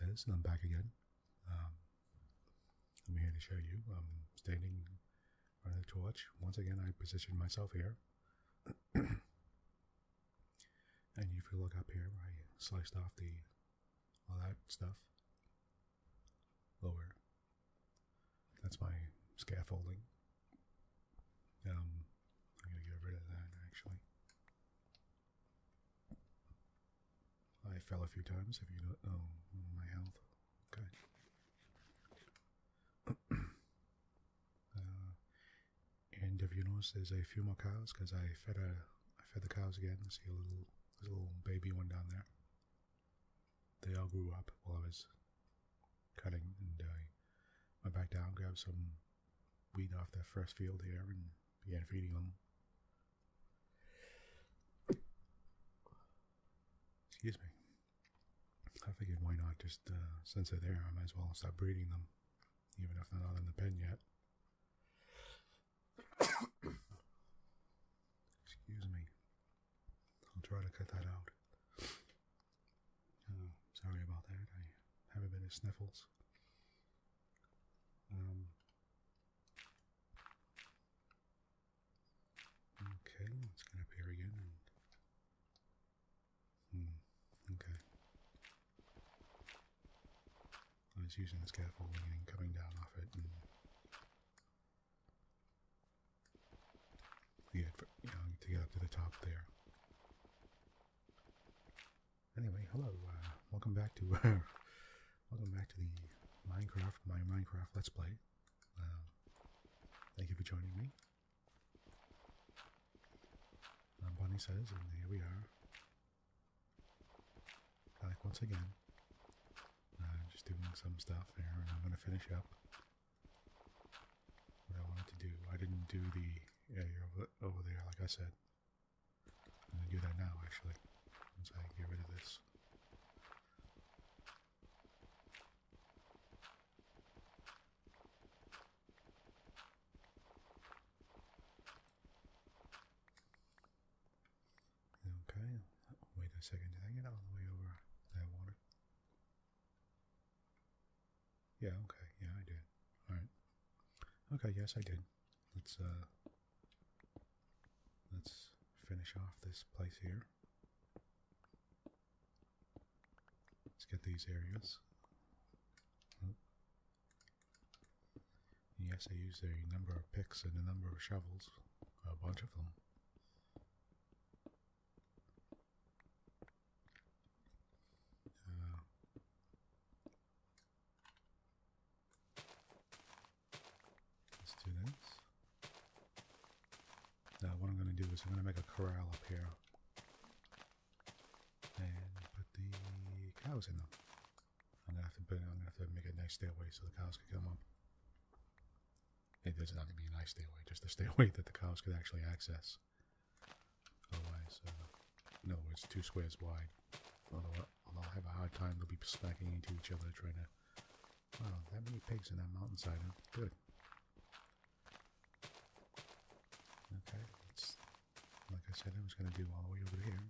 There's, and I'm back again. Um, I'm here to show you. I'm standing running the torch. Once again, I position myself here. and if you look up here, I sliced off the all that stuff. Lower. That's my scaffolding. Um, I'm gonna get rid of that actually. I fell a few times. If you don't know, oh, my health. Okay. and if you notice, there's a few more cows because I fed a, I fed the cows again. I see a little, little baby one down there. They all grew up while I was cutting, and I went back down, grabbed some weed off that first field here and began feeding them. Excuse me. I figured why not just since they're there, I might as well stop breeding them, even if they're not in the pen yet. Excuse me. I'll try to cut that out. Oh, sorry about that. I have a bit of sniffles. Um, okay, let's get up again. Hmm, okay. I was using the scaffolding and coming down off it to get to the top there. Anyway, hello. Uh, welcome back to welcome back to the Minecraft my Minecraft Let's Play. Um, thank you for joining me. i Bonnie says, and here we are. Back once again. Uh, just doing some stuff here, and I'm gonna finish up what I wanted to do. I didn't do the yeah, you're over, there, like I said. I'm going to do that now, actually, once I get rid of this. Okay, wait a second, did I get all the way over that water? Yeah, okay. Yeah, I did. All right. Okay, yes, I did. Let's, uh, let's finish off this place here. Let's get these areas. Oh. Yes, I used a number of picks and a number of shovels. A bunch of them. Uh, let's do this. Now what I'm going to do is I'm going to make a corral up here. And put the cows in them. i have to burn it. I'm going to have to make a nice stairway so the cows can come up. It doesn't have to be a nice stairway, just a stairway that the cows could actually access. Otherwise, uh, in other words, two squares wide. Although, although will have a hard time, they'll be smacking into each other trying to... Wow, that many pigs in that mountainside, Good. Okay, it's like I said I was going to do all the way over here.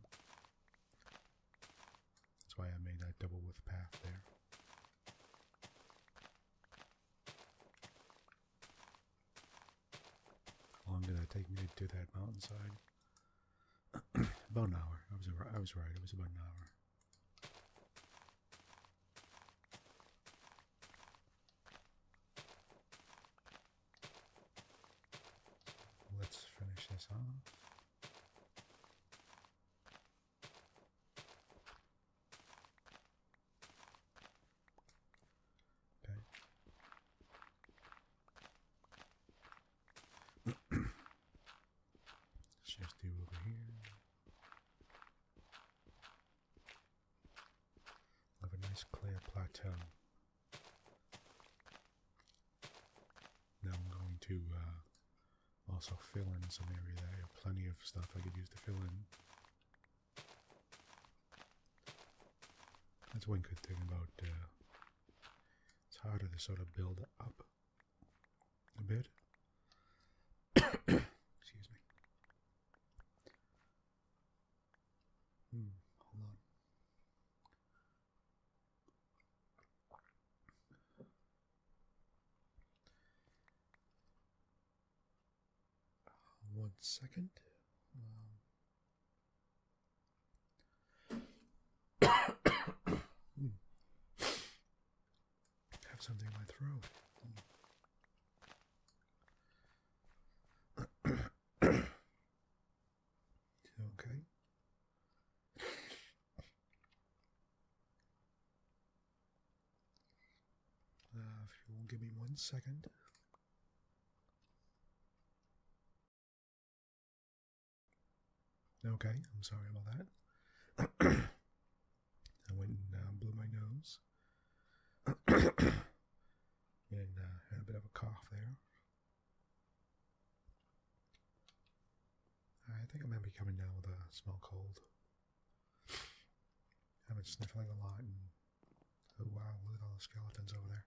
That's why I made that double width path there. How long did that take me to do that mountainside? about an hour. I was I was right. It was about an hour. Let's finish this off. Okay. Shift you over here. Have a nice clear plateau. Now I'm going to uh, also fill in some area I have plenty of stuff I could use to fill in. That's one good thing about uh, it's harder to sort of build up a bit. Excuse me. Hmm, hold on. Uh, one second. Um, have something in my throat. okay. Uh, if you will give me one second, Okay, I'm sorry about that. I went and uh, blew my nose. and uh, had a bit of a cough there. I think I might be coming down with a small cold. I've been sniffing a lot and Oh wow, look at all the skeletons over there.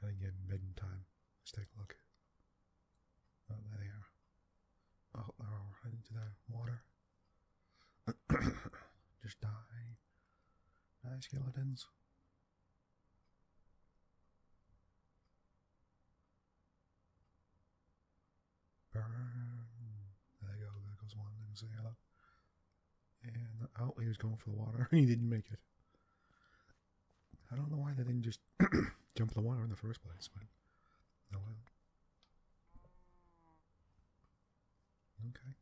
I think it's bedtime. Let's take a look. Oh, there they are. Oh, they're all heading to the water. Just die. Die, skeletons. There they go. There goes one. There goes And oh, he was going for the water. he didn't make it. I don't know why they didn't just jump the water in the first place, but oh Okay.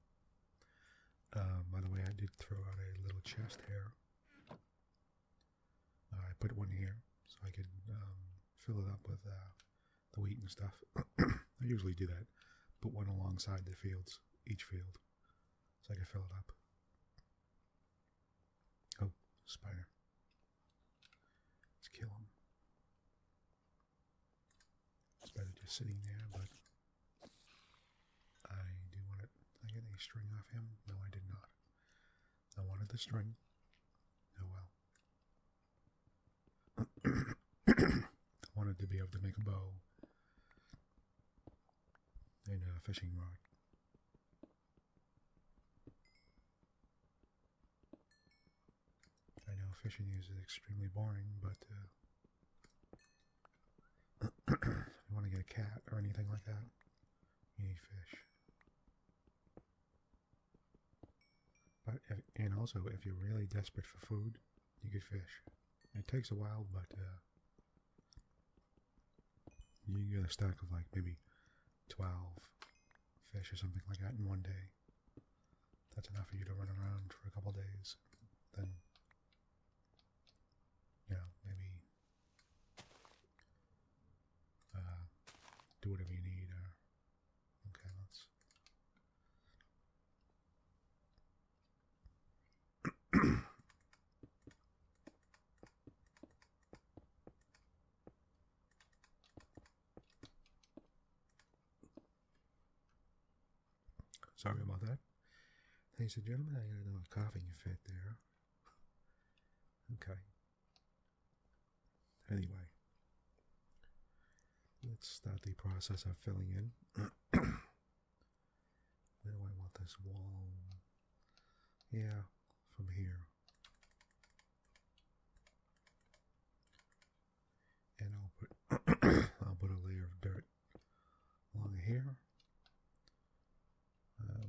Uh, by the way, I did throw out a little chest here. I put one here so I could um, fill it up with uh, the wheat and stuff. I usually do that, put one alongside the fields, each field, so I can fill it up. Oh, spider. Let's kill him. It's better just sitting there, but I do want to. I get a string off him? No, I did not. I wanted the string. Oh well. I wanted to be able to make a bow and a fishing rod. I know fishing is extremely boring, but if uh, you want to get a cat or anything like that, you need fish. But and also, if you're really desperate for food, you could fish. It takes a while, but uh, you can get a stack of like maybe 12 fish or something like that in one day. That's enough for you to run around for a couple days. Then, you know, maybe uh, do whatever you need. Uh, okay, let's Sorry about that. Ladies and gentlemen, I got another coughing fit there. Okay. Anyway, let's start the process of filling in. Where do I want this wall? Yeah, from here. And I'll put I'll put a layer of dirt along here. Um,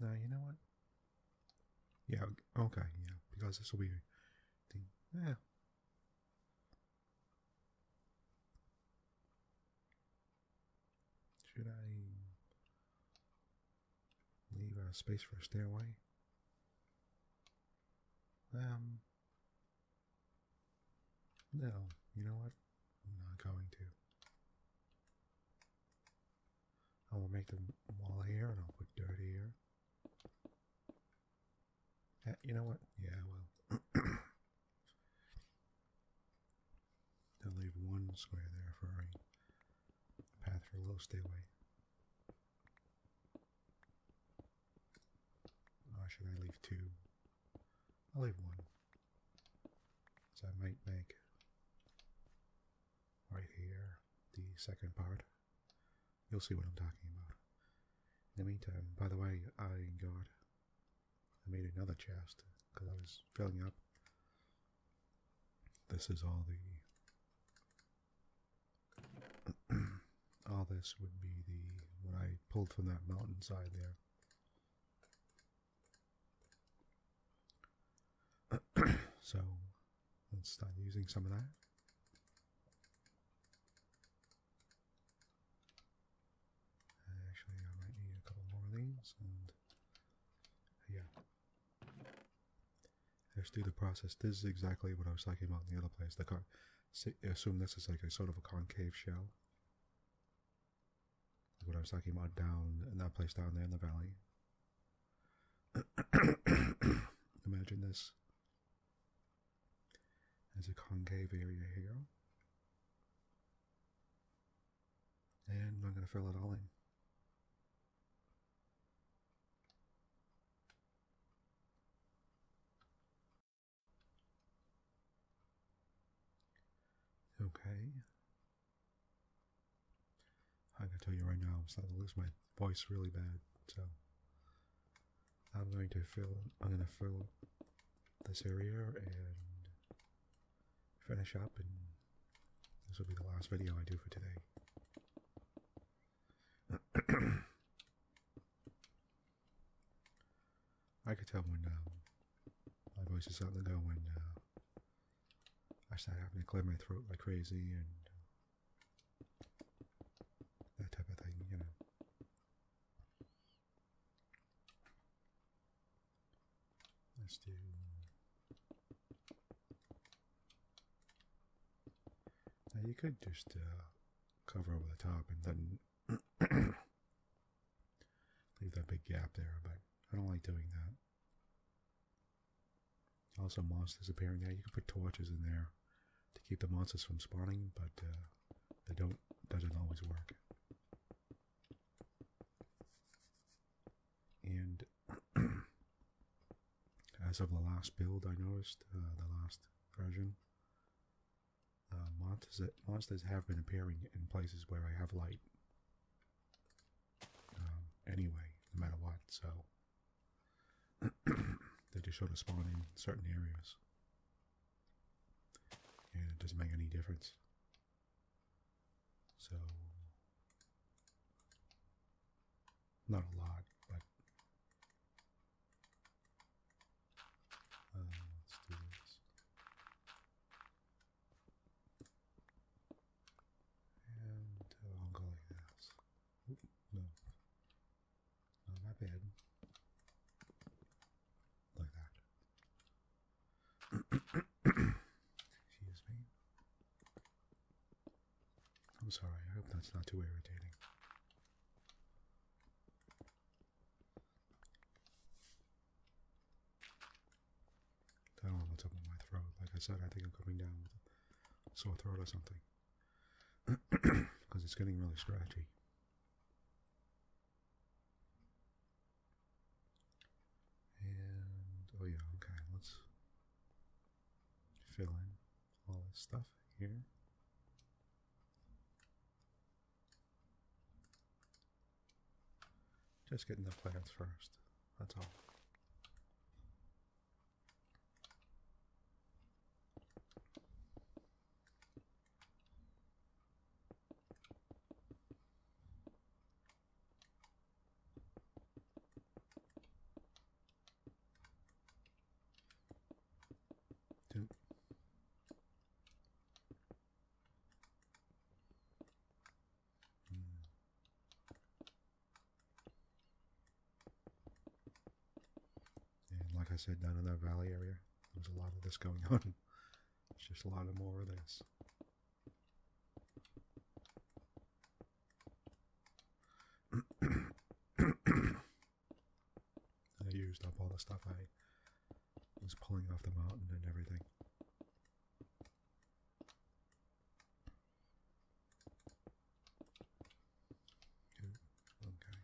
now you know what? Yeah, okay, yeah, because this will be Yeah. Should I leave a space for a stairway? Um, no, you know what? I'm not going to. I will make the wall here, and I'll put dirt here. you know what? Yeah, well, i will leave one square there for a path for a little Or should I leave two? I'll leave one. So I might make right here, the second part. You'll see what I'm talking about. In the meantime, by the way, I got... I made another chest, because I was filling up. This is all the... all this would be the... what I pulled from that mountainside there. so Let's start using some of that. Actually, I might need a couple more of these, and yeah. Let's do the process. This is exactly what I was talking about in the other place. The car. Assume this is like a sort of a concave shell. What I was talking about down in that place down there in the valley. Imagine this as a concave area here. And I'm going to fill it all in. Okay i can tell you right now, I'm starting to lose my voice really bad, so I'm going to fill, I'm going to fill this area and finish up and this will be the last video I do for today. I could tell when um, my voice is starting to go when uh, I start having to clear my throat like crazy and that type of thing, you know. Let's do. Now you could just uh, cover over the top and then leave that big gap there, but I don't like doing that. Also monsters appearing there. You can put torches in there to keep the monsters from spawning, but uh, they don't doesn't always work. And as of the last build, I noticed uh, the last version, uh, monsters monsters have been appearing in places where I have light. Um, anyway, no matter what, so they just sort of spawn in certain areas. And it doesn't make any difference. So, not a lot, but uh, let's do this. And uh, i no. No, my bad. Like that. Excuse me. I'm sorry, I hope that's not too irritating. I do up my throat. Like I said, I think I'm coming down with a sore throat or something because it's getting really scratchy. And oh yeah, okay, let's fill in all this stuff here. Just getting the plants first, that's all. Two. Mm. And like I said, down in that valley area, there's a lot of this going on. it's just a lot of more of this. I used up all the stuff I was pulling off the mountain and everything. Ooh, okay.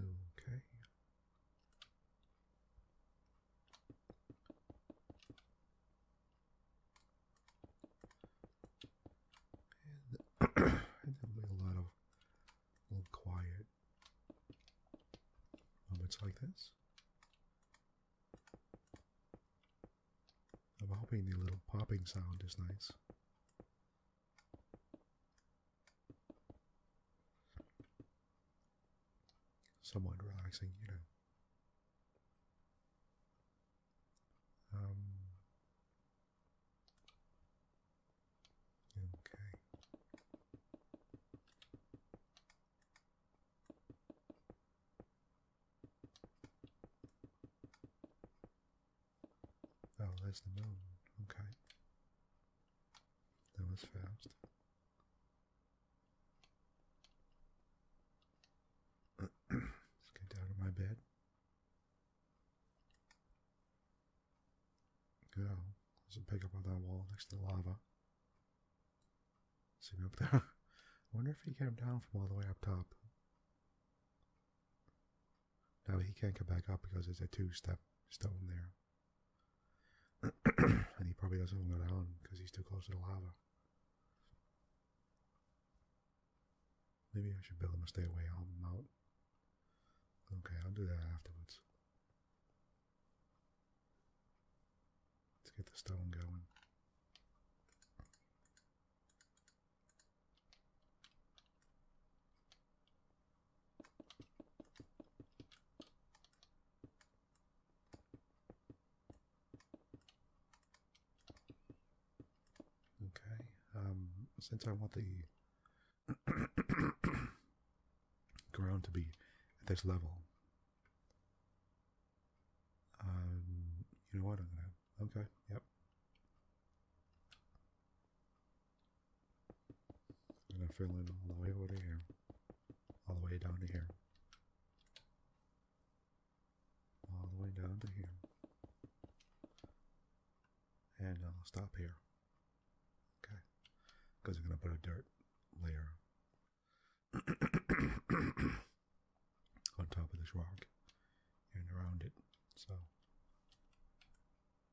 Okay. And, and there a lot of little quiet moments like this. I'm hoping the little popping sound is nice somewhat relaxing, you know. Um, okay. Oh, there's the moon. Okay. That was fast. Let's get down to my bed. Go. Yeah, there's a pickup on that wall next to the lava. See me up there. wonder if he came down from all the way up top. Now he can't come back up because there's a two-step stone there. and he probably doesn't want to go down because he's too close to the lava. Maybe I should build him a stairway on the mount. Okay, I'll do that afterwards. Let's get the stone going. Okay. Um, since I want the ground to be at this level, um, you know what? Okay. Yep. I'm gonna fill in all the way over here, all the way down to here, all the way down to here, and I'll stop here. Okay, because we're gonna put a dirt layer on top of this rock and around it, so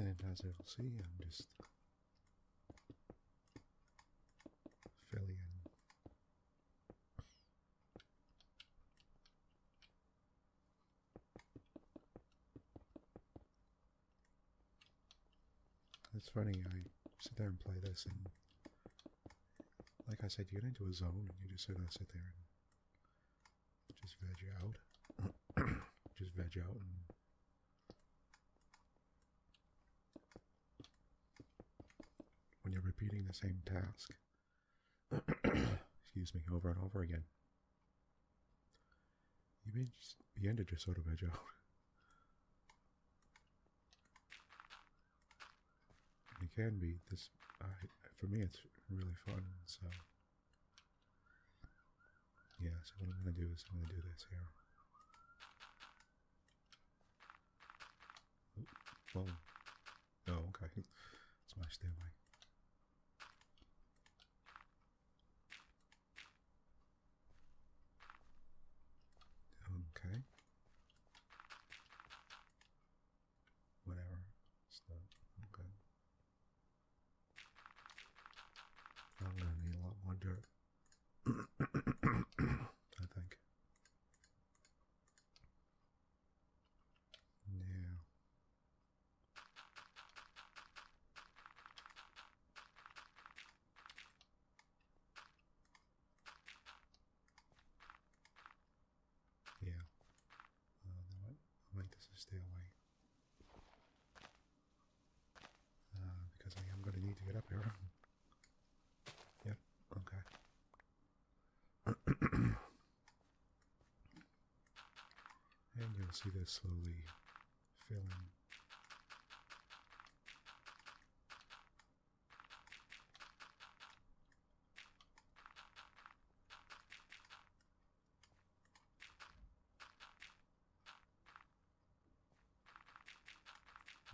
And as you'll see, I'm just filling in it's funny, I sit there and play this, and like I said, you get into a zone, and you just sort of sit there and just veg out. just veg out and when you're repeating the same task, excuse me, over and over again. You may just begin to just sort of edge out. It can be this. for me, it's really fun. So, yeah. So what I'm gonna do is I'm gonna do this here. Whoa. Oh, okay. It's my stairway. Okay. Whatever. okay. I'm gonna need a lot more dirt. I think. Yeah. Yeah. Uh, no, I'll make stay away. Uh, because I am going to need to get up here. yep, okay. And you'll see this slowly filling.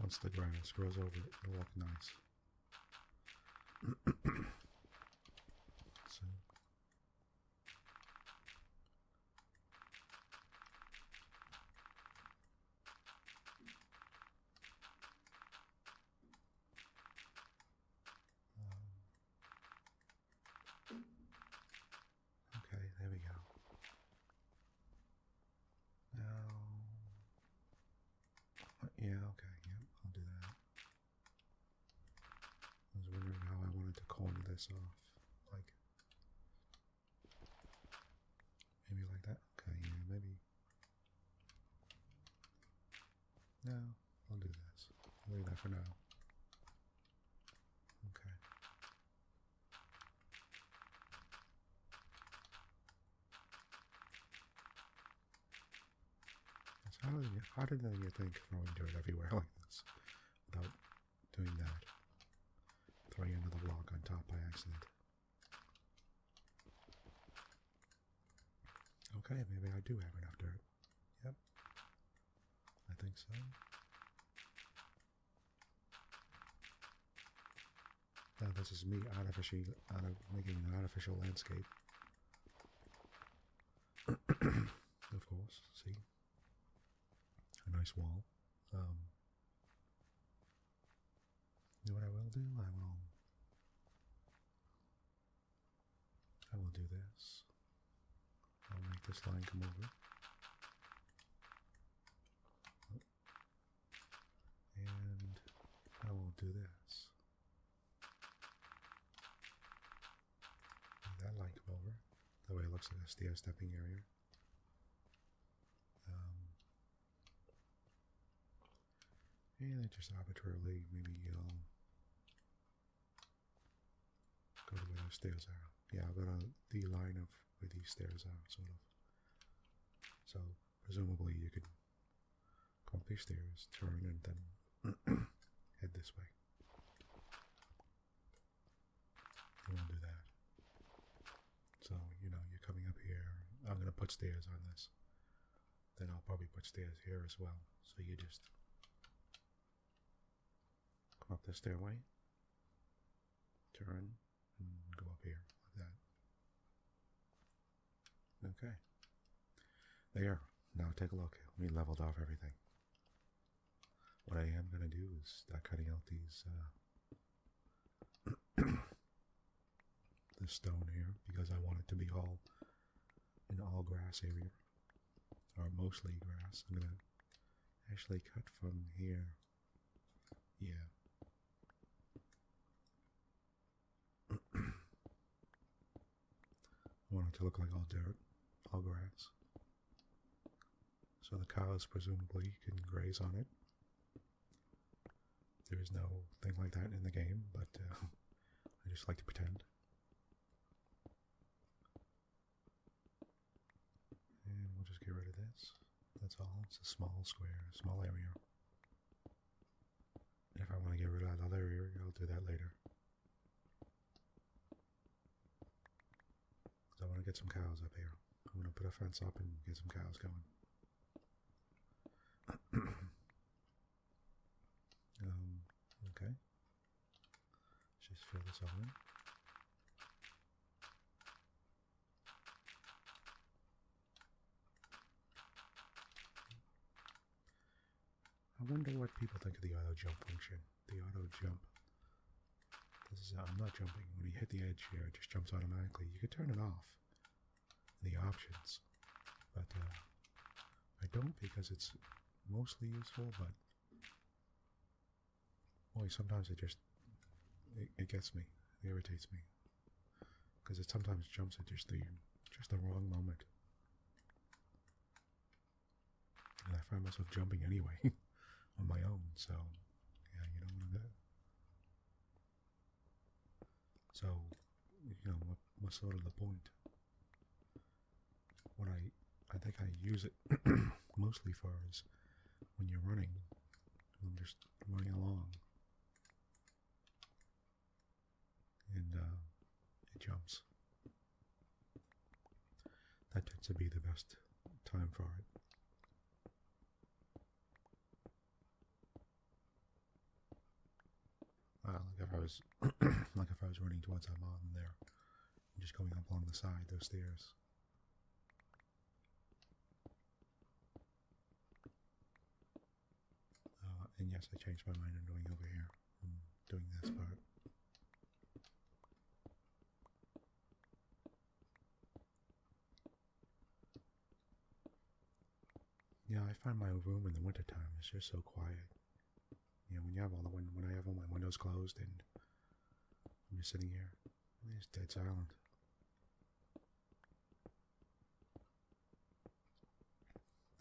Once the grass grows over it, it'll look nice. so um, okay, there we go. Now, yeah, okay, yep, yeah, I'll do that. I was wondering how I wanted to call this off. Like, maybe like that? Okay, yeah, maybe. No, I'll do this. leave that for now. Okay. So how did you, how did you think throwing dirt everywhere like this without doing that? Throwing another block on top by accident. Okay, maybe I do have enough dirt. Yep. I think so. Now this is me artificial, uh, making an artificial landscape. of course. See, a nice wall. Um, you know what I will do? I will. I will do this. I'll make this line come over. And I will do this. That light over. the way it looks like a stairs stepping area. Um, and then just arbitrarily, maybe will go to where those stairs are. Yeah, I've got a, the line of where these stairs are, sort of. So, presumably you could go up these stairs, turn, and then head this way. We won't do that. So, you know, you're coming up here. I'm going to put stairs on this. Then I'll probably put stairs here as well. So you just come up the stairway, turn, and go up here like that. Okay. There. Now take a look. We leveled off everything. What I am going to do is start cutting out these, uh, the stone here because I want it to be all an all grass area, or mostly grass. I'm going to actually cut from here. Yeah. I want it to look like all dirt, all grass. So the cows presumably can graze on it. There is no thing like that in the game, but uh, I just like to pretend. And we'll just get rid of this. That's all. It's a small square, a small area. if I want to get rid of that other area, I'll do that later. I want to get some cows up here. I'm going to put a fence up and get some cows going. um, okay. Let's just fill this all I wonder what people think of the auto jump function. The auto jump. This is I'm not jumping. When you hit the edge here, it just jumps automatically. You could turn it off. in The options, but uh, I don't because it's mostly useful. But boy, sometimes it just it, gets me. irritates me because it sometimes jumps at just the just the wrong moment and I find myself jumping anyway on my own. So yeah, you do So you know what's sort of the point? What I I think I use it mostly for is when you're running. I'm just running along, and uh, it jumps. That tends to be the best time for it. like if I was like if I was running towards that mountain there, just going up along the side, those stairs. Uh, and yes, I changed my mind on going over here. doing this part. Yeah, I find my room in the wintertime is just so quiet. You know, when you have all the win when I have all my windows closed and I'm just sitting here, it's dead silent.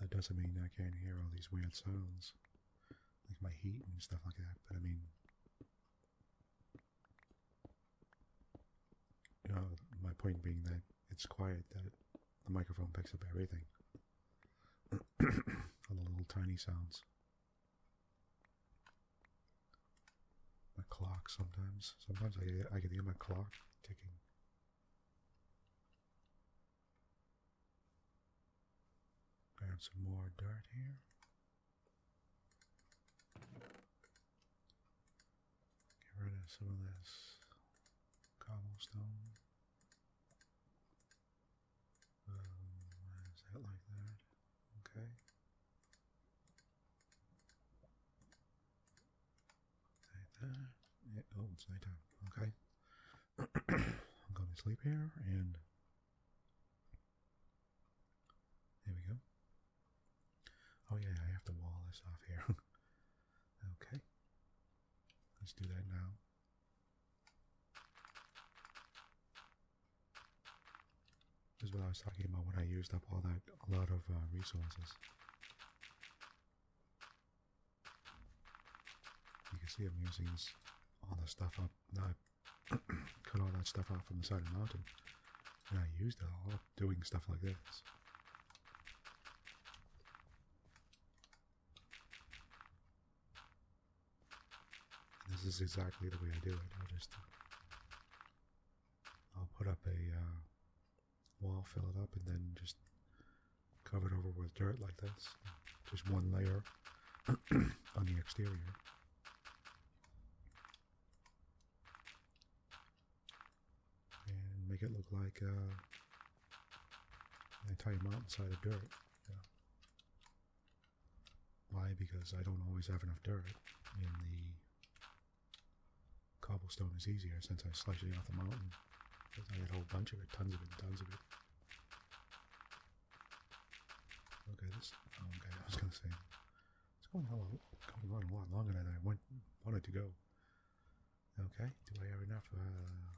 That doesn't mean I can't hear all these weird sounds like my heat and stuff like that. But I mean, you know, my point being that it's quiet that the microphone picks up everything. All the little tiny sounds. My clock sometimes. Sometimes I get, I can hear my clock ticking. Add some more dirt here. Get rid of some of this cobblestone. Um, why is that like that? Okay. Like that. Oh, it's nighttime. Okay. I'm going to sleep here, and there we go. Oh yeah, I have to wall this off here. okay, let's do that now. This is what I was talking about when I used up all that a lot of uh, resources. You can see I'm using this, all the stuff up no, cut all that stuff out from the side of the mountain. And I used it all doing stuff like this. this is exactly the way I do it. I'll just, I'll put up a uh, wall, fill it up, and then just cover it over with dirt like this. Just one layer on the exterior. And make it look like uh, an entire mountainside of dirt. Why? Because I don't always have enough dirt and the cobblestone is easier since I sliced it off the mountain. I had a whole bunch of it, tons of it, tons of it. Okay, this. Oh, okay, I was gonna say it's going a lot longer than I wanted to go. Okay, do I have enough? Uh,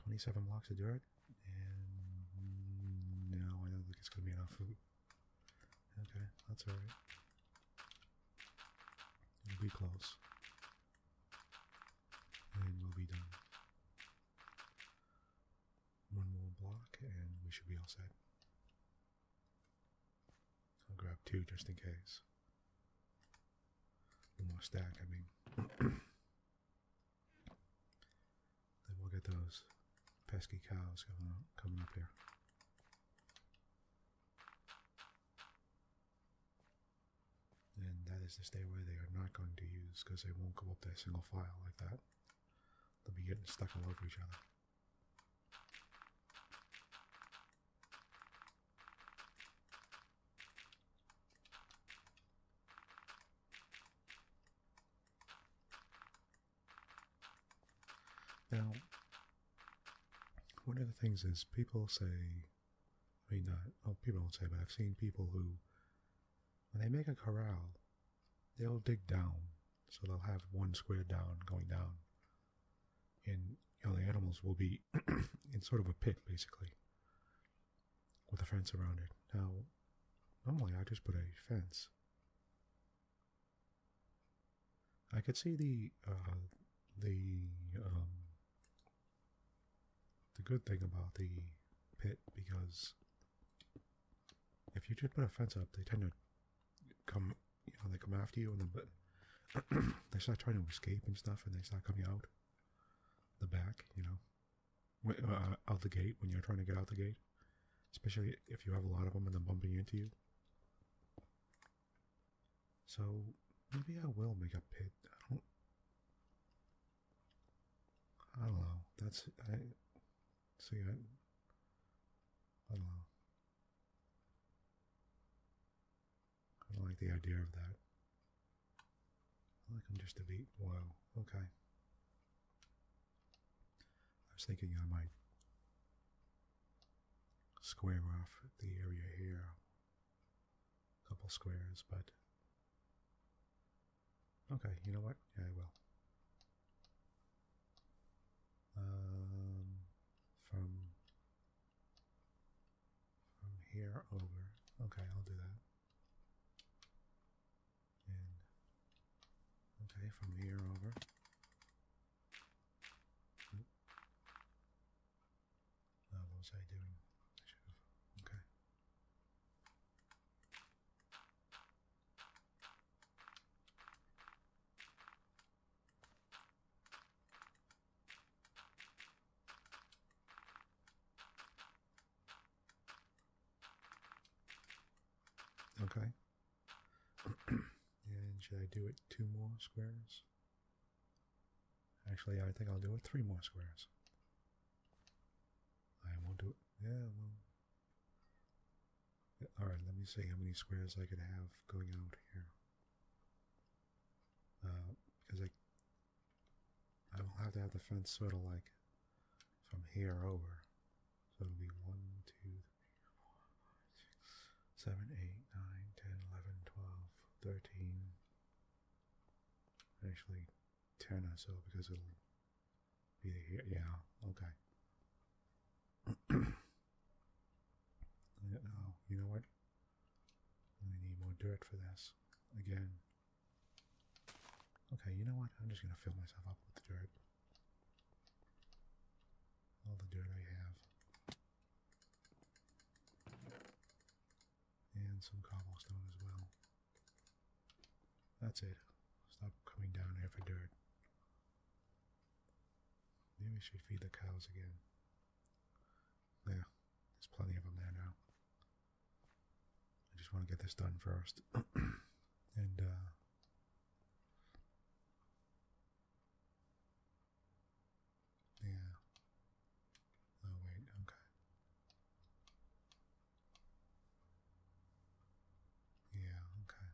twenty-seven blocks of dirt, and no, I don't think it's gonna be enough Okay, that's alright. We'll be close, and we'll be done. One more block and we should be all set. I'll grab two just in case. One more stack, I mean. then we'll get those pesky cows coming up, coming here. And that is the stairway they are not going to use because they won't go up that single file like that. They'll be getting stuck all over each other. Now, one of the things is people say, I mean, people don't say, but I've seen people who when they make a corral, they'll dig down. So they'll have one square down going down. And all the animals will be in sort of a pit, basically, with a fence around it. Now, normally I just put a fence. I could see the uh, the um, the good thing about the pit because if you just put a fence up, they tend to come, you know, they come after you and they start trying to escape and stuff and they start coming out the back, you know, uh, out the gate when you're trying to get out the gate, especially if you have a lot of them and they're bumping into you. So maybe I will make a pit. I don't know. That's I. see. I don't know. I don't like the idea of that. I like I'm just a bit. Wow. Okay. I was thinking I might square off the area here, a couple squares, but Okay, you know what? Yeah, I will. Um, from from here over. Okay, I'll do that. And okay, from here over. what was I doing? Okay. Okay. and should I do it two more squares? Actually, I think I'll do it three more squares. I won't do it. Yeah, well. Alright, let me see how many squares I could have going out here. because uh, I, I will have to have the fence sort of like from here over. So it'll be 1, 2, 3, 4, 5, 6, 7, 8, 9, 10, 11, 12, 13. Actually, 10 or so because it'll be here. Yeah, okay. yeah, oh, you know what? We need more dirt for this. Again. Okay, you know what? I'm just going to fill myself up with the dirt. All the dirt I have. And some cobblestone as well. That's it. Stop coming down here for dirt. Maybe we should feed the cows again. Yeah, there's plenty of them there now. I just want to get this done first. and, uh, Yeah. Oh, wait, okay. Yeah, okay.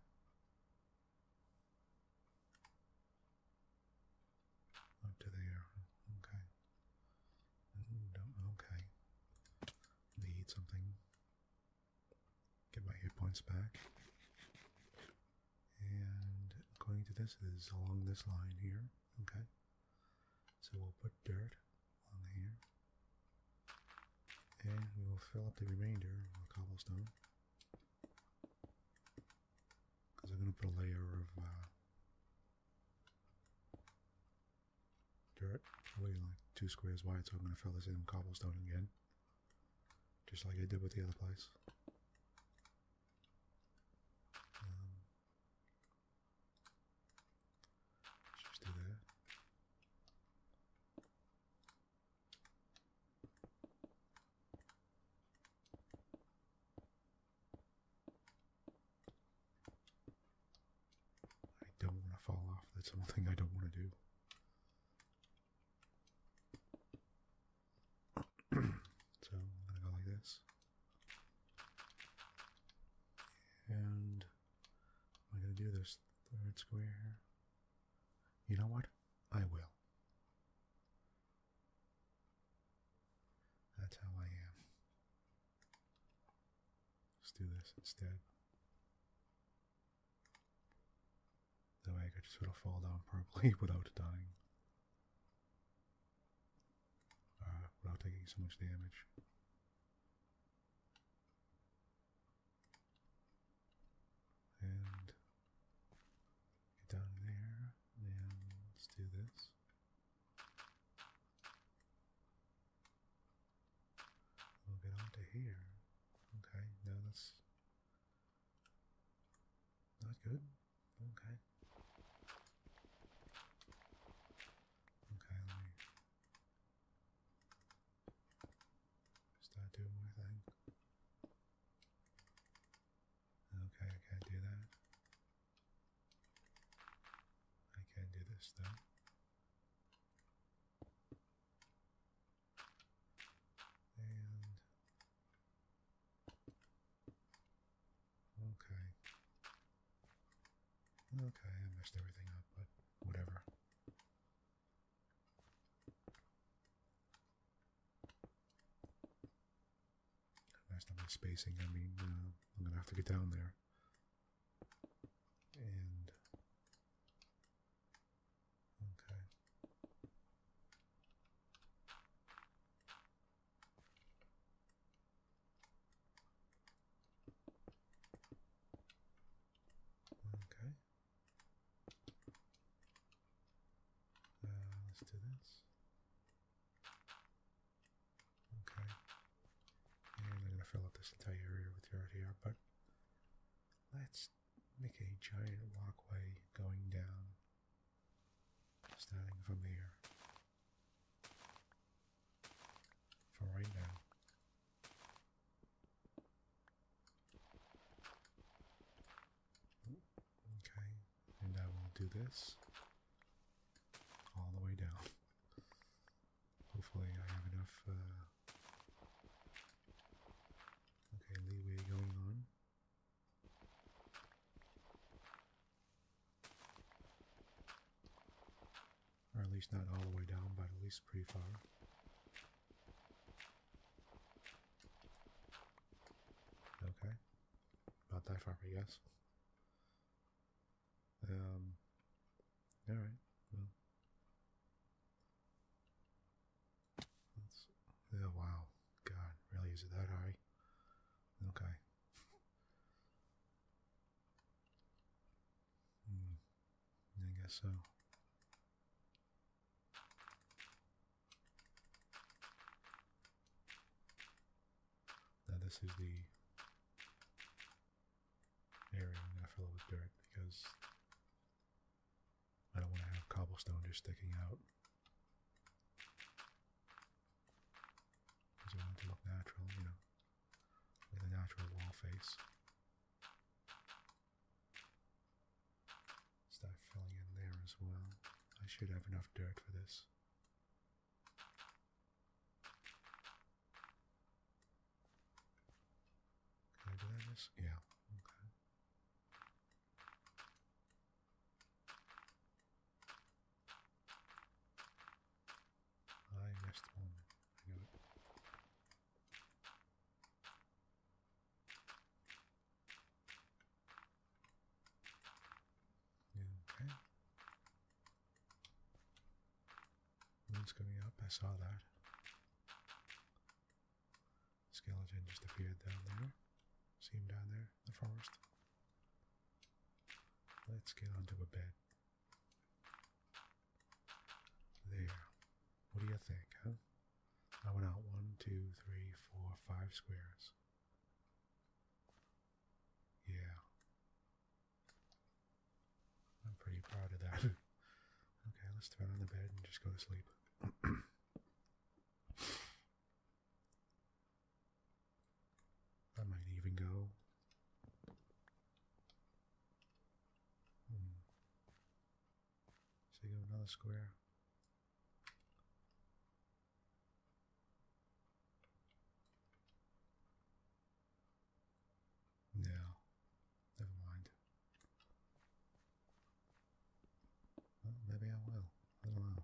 Up to there, okay. Mm, okay. Need something. Get my hit points back. And according to this, it is along this line here, okay. So we'll put dirt on here. And we will fill up the remainder with cobblestone. Because I'm going to put a layer of uh, dirt, probably like two squares wide, so I'm going to fill this in with cobblestone again. Just like I did with the other place. Um, just do that. I don't want to fall off. That's one thing I don't want to do. so I'm going to go like this. And Am I gonna do this third square? You know what? I will. That's how I am. Let's do this instead. That way I could sort of fall down properly without dying. Uh, without taking so much damage. And get down there and let's do this. We'll get on here. Okay, no, that's not good. Okay. Okay, Start doing my thing. Okay, I can't do that. I can't do this though. And okay. Okay, I messed everything up, but whatever. messed up my spacing. I mean, uh, I'm going to have to get down there. And... Okay. Okay. Uh, let's do this. Okay. And I'm gonna fill up this entire area with dirt here, but let's make a giant walkway going down, starting from here for right now. Okay, and I will do this all the way down. Hopefully, I have enough uh, okay leeway going on. Or at least not all the way down, but at least pretty far. Okay. Not that far, I guess. Um, alright, well. That's, oh, wow, God, really, is it that high? Okay. Hmm. I guess so. Now this is the area I'm gonna fill it with dirt because I don't want to have cobblestone just sticking out. Because I want it to look natural, you know with a natural wall face. Start filling in there as well. I should have enough dirt for this. Can I do This? Yeah. Okay. I missed one. I okay. One's coming up. I saw that. Skeleton just appeared down there. See him down there in the forest. Let's get onto a bed. There. What do you think, huh? I went out one, two, three, four, five squares. Yeah. I'm pretty proud of that. okay, let's throw on the bed and just go to sleep. I might even go Hmm. So you go another square. No, never mind. maybe I will. I don't know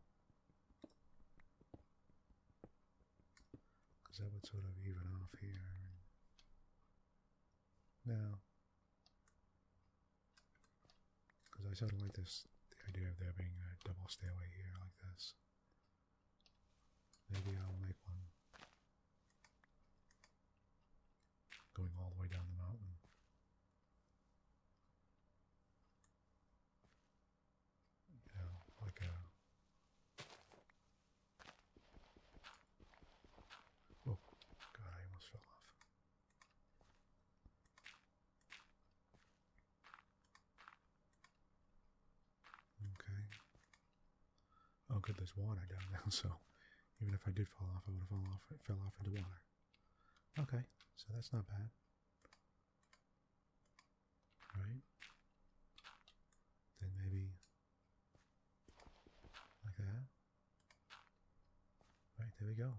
because that would sort of even off here. Now, because I sort of like this, the idea of there being a double stairway here like this. Maybe I'll make one going all the way down the mountain. You like a Oh, God, I almost fell off. Okay. Oh, good, there's water down there, so even if I did fall off, I would have fallen off, fell off into water. Okay, so that's not bad. Right? Then maybe like that. Right, there we go.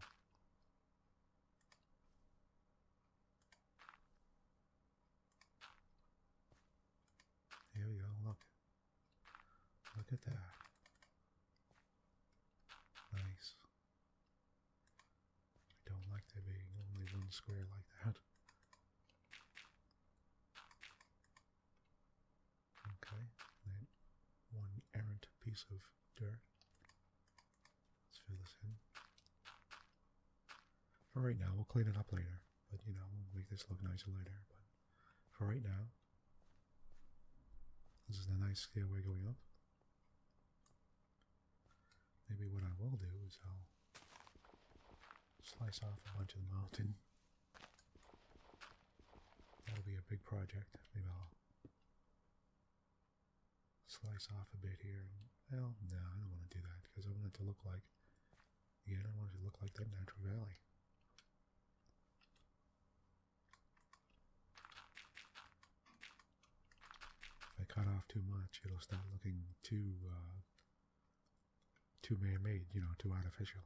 There we go, look. Look at that. Nice. I don't like there being only one square like that. Okay, then one errant piece of dirt. Let's fill this in. For right now, we'll clean it up later. But you know, we'll make this look nicer later. But for right now, this is a nice stairway going up. Maybe what I will do is I'll slice off a bunch of the mountain That'll be a big project. Maybe I'll slice off a bit here. Well, no, I don't want to do that because I want it to look like, yeah, I want it to look like that natural valley. If I cut off too much, it'll start looking too uh, too man-made, you know, too artificial.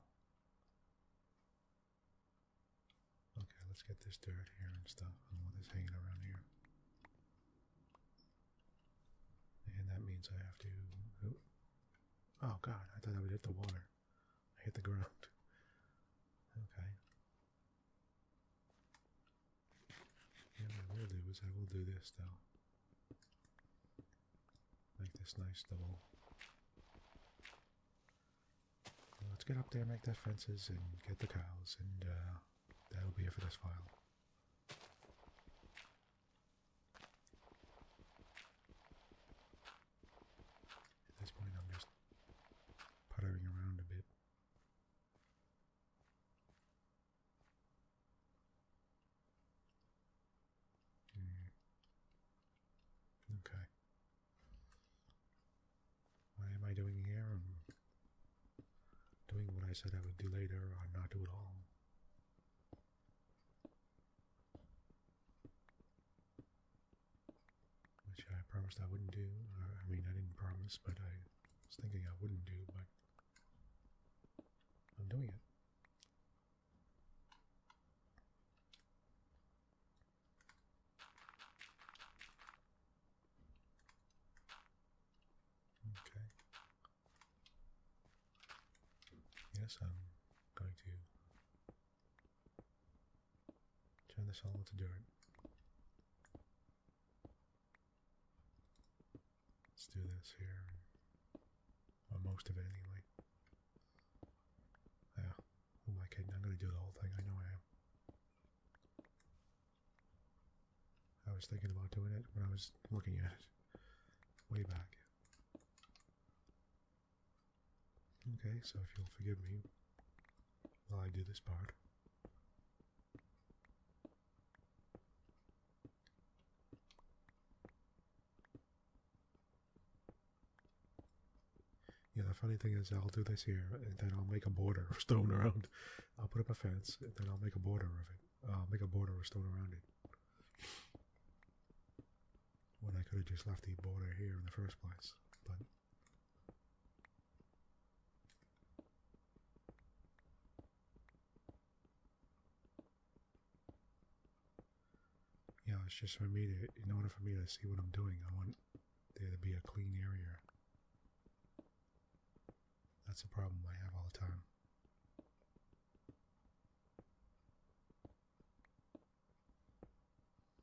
Okay, let's get this dirt here and stuff and what is hanging around here. And that means I have to... Oh, god, I thought I would hit the water. I hit the ground. Okay. Yeah, what I will do is I will do this, though. Make this nice double. Let's get up there, make the fences, and get the cows, and uh, that'll be it for this file. At this point, I'm just puttering around a bit. Mm. Okay. What am I doing here? I'm doing what I said I would do later or not do it all. Which I promised I wouldn't do. I mean, I didn't promise, but I was thinking I wouldn't do, but I'm doing it. Okay. Yes, I'm going to turn this all into dirt. Let's do this here. Or most of it, anyway. Yeah. Who oh am I I'm going to do the whole thing. I know I am. I was thinking about doing it when I was looking at it. Way back. Okay, so if you'll forgive me while I do this part. Yeah, the funny thing is, I'll do this here, and then I'll make a border of stone around. I'll put up a fence, and then I'll make a border of it. I'll make a border of stone around it. When I could have just left the border here in the first place, but. Yeah, it's just for me to, in order for me to see what I'm doing, I want there to be a clean area. That's a problem I have all the time.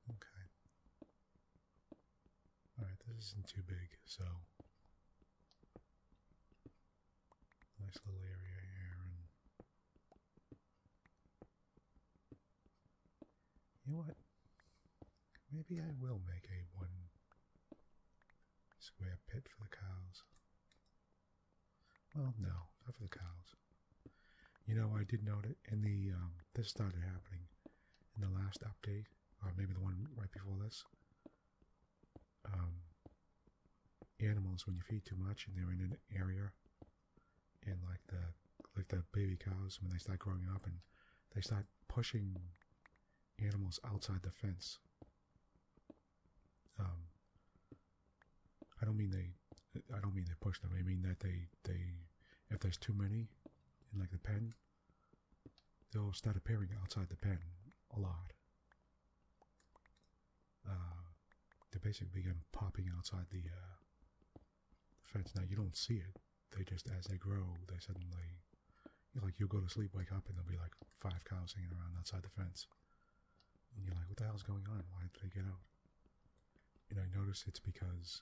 Okay. Alright, this isn't too big, so... Nice little area here, you know what? Maybe I will make a one square pit for the cows. Well, no, not for the cows. You know, I did note it in the, um, this started happening in the last update, or maybe the one right before this. Um, animals when you feed too much and they're in an area and like the like the baby cows when they start growing up and they start pushing animals outside the fence um i don't mean they i don't mean they push them i mean that they they if there's too many in like the pen they'll start appearing outside the pen a lot uh, they basically begin popping outside the, uh, fence. Now you don't see it; they just as they grow, they suddenly you like you'll go to sleep, wake up, and there'll be like five cows hanging around outside the fence, and you're like, "What the hell's going on? Why did they get out?" And I notice it's because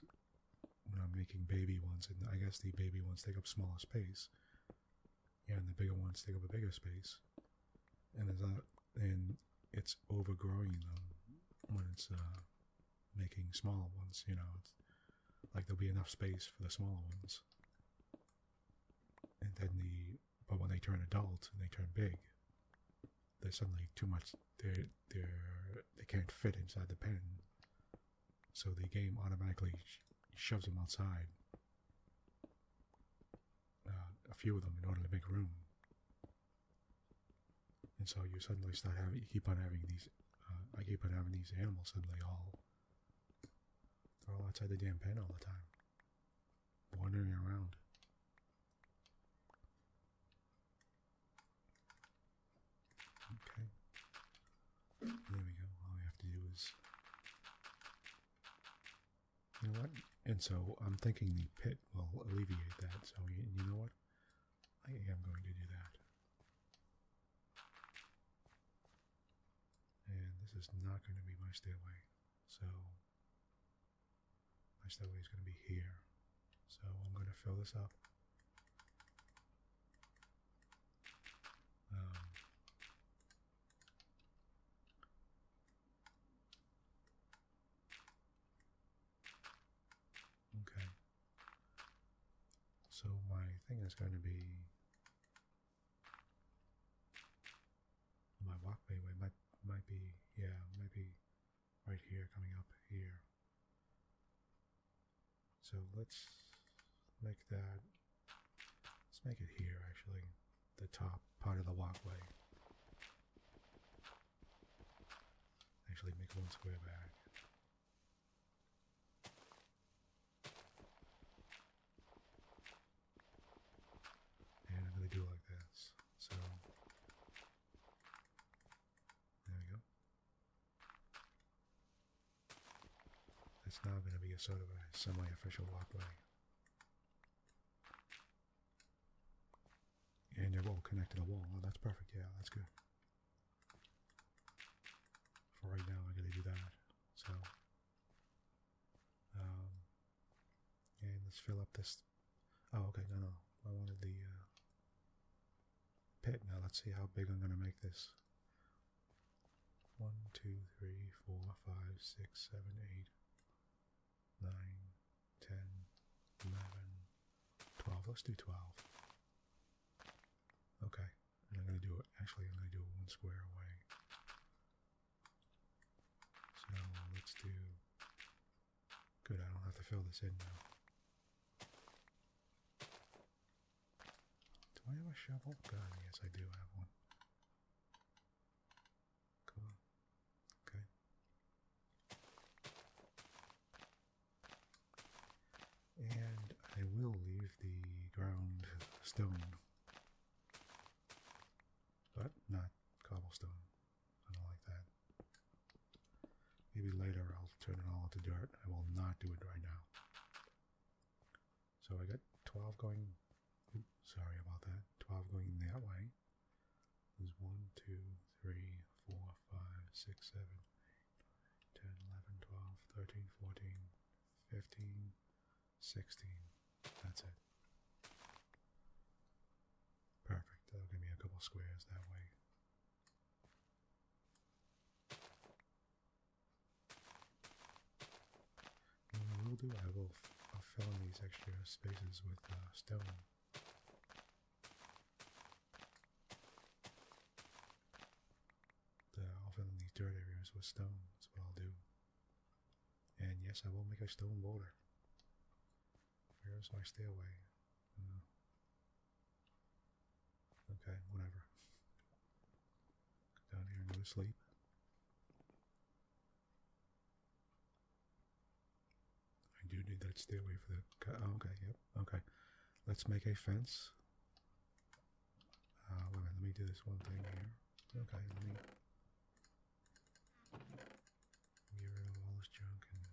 when I'm making baby ones, and I guess the baby ones take up smaller space, yeah, and the bigger ones take up a bigger space, and there's that and it's overgrowing them when it's uh, making small ones, you know. It's, like there'll be enough space for the smaller ones. And then the but when they turn adult and they turn big, there's suddenly too much they're they're they they they can not fit inside the pen. So the game automatically shoves them outside. Uh, a few of them in order to make room. And so you suddenly start having, you keep on having these, uh, I keep on having these animals suddenly all, they're all outside the damn pen all the time, wandering around. Okay. There we go. All we have to do is you know what? And so I'm thinking the pit will alleviate that. So you, know what? I am going to do that. And this is not going to be my stairway. So my stairway is going to be here. So I'm going to fill this up. Um, Okay. So my thing is going to be my walkway might might be yeah maybe right here coming up here. So let's make that let's make it here actually the top part of the walkway. Actually, make one square back. And i do like this. So, there we go. That's now going to be a sort of a semi-official walkway. And they're all connected to the wall. Oh, that's perfect. Yeah, that's good. For right now, I'm to do that. So, um, and let's fill up this. Oh, okay. No, no. I wanted the uh, pit. Now, let's see how big I'm going to make this. One, two, three, four, five, six, seven, eight. 9, 12. Let's do 12. Okay. I'm going to do it. Actually, I'm going to do it one square away. So let's do. Good, I don't have to fill this in now. Do I have a shovel? God, yes, I do have one. Cool. Okay. And I will leave the ground stone, but not cobblestone. I don't like that. Maybe later I'll turn it all into dirt. I will not do it right now. So I got 12 going, sorry about that, 12 going that way. There's 1, 2, 3, 4, 5, 6, 7, 10, 11, 12, 13, 14, 15, 16. That's it. Perfect. That'll give me a couple squares that way. And will do, I will I'll fill in these extra spaces with uh, stone. The, I'll dirt areas with stone, that's I'll do. And yes, I will make a stone border. Where's my stairway? Hmm. okay, whatever. down here to sleep. I do need that stairway for the. Oh, okay, yep, okay. Let's make a fence. Uh, wait let me do this one thing here. Okay, let me get rid of all this junk and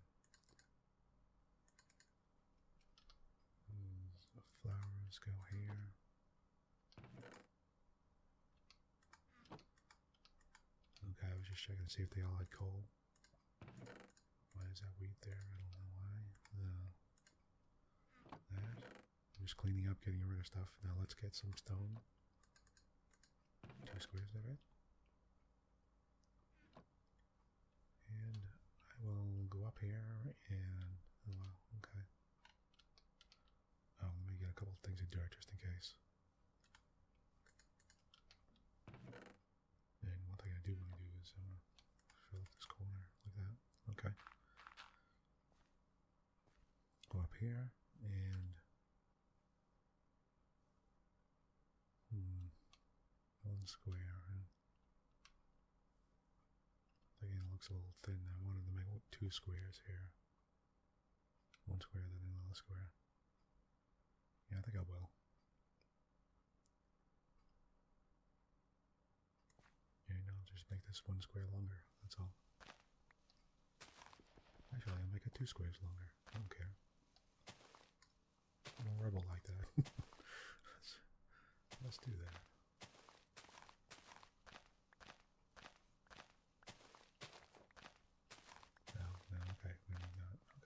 hmm, flowers go here. Okay, I was just checking to see if they all had coal. Why is that wheat there? I don't know why. that. just cleaning up, getting rid of stuff. Now let's get some stone. Two squares, is And I will go up here and... Oh, okay. Oh, let me get a couple things in there just in case. And one thing I do want to do is uh, fill up this corner like that. Okay. Go up here and. Hmm, one square. Again, it looks a little thin. I wanted to make two squares here. One square, then another square. Yeah, I think I will. Yeah, no, I'll just make this one square longer, that's all. Actually, I'll make it two squares longer. I don't care. I'm a rebel like that. let's, let's do that. No, no, okay, we need that. Okay.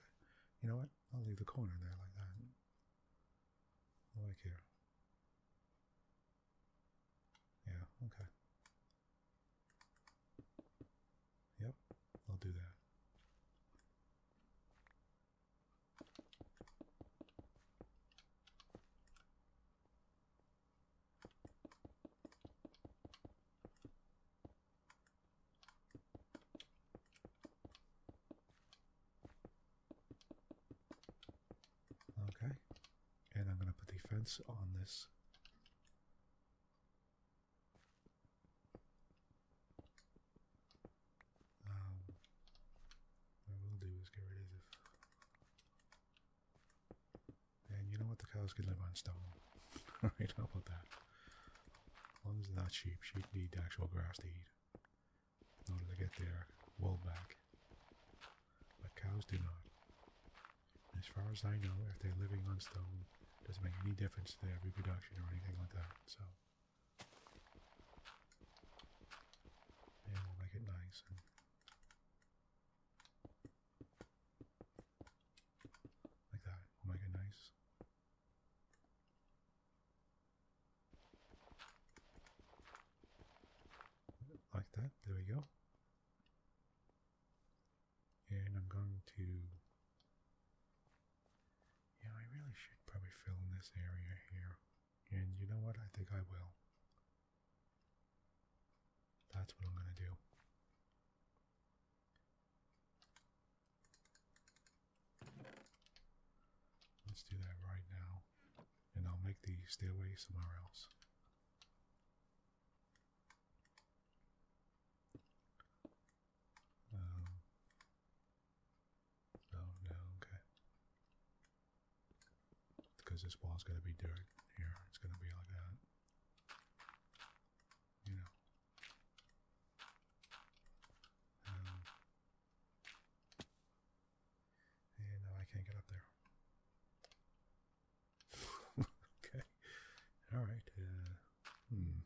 You know what? I'll leave the corner there like that. Like here. Yeah, okay. Yep, I'll do that. Okay, and I'm going to put the fence on this. Um, what will do is get rid of and you know what? The cows can live on stone. Alright, how about that? As are not sheep. Sheep need actual grass to eat in order to get their wool back. But cows do not. As far as I know, if they're living on stone, doesn't make any difference to their reproduction or anything like that, so... And we'll make it nice like that will make it nice. Like that, there we go. And I'm going to. Yeah, I really should probably fill in this area here. And you know what? I think I will. That's what I'm gonna do. Let's do that right now. And I'll make the stairway somewhere else. Um, oh, no, okay. Because this wall is gonna be dirt here. It's gonna be like that. You know, um, no, I can't get up there. okay. All right. Uh, hmm.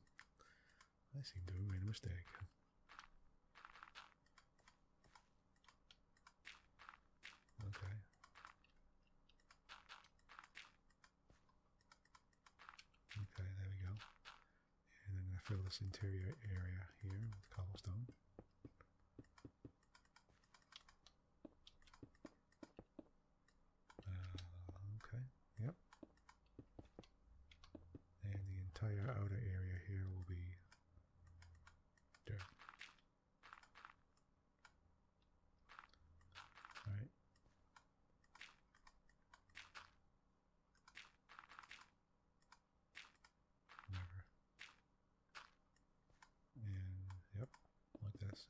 I seem to have made a mistake. Okay. Okay, there we go. And I'm going to fill this interior area here with cobblestone. Uh, okay, yep. And the entire outer area here will be dirt. All right. Whatever. And yep, like this.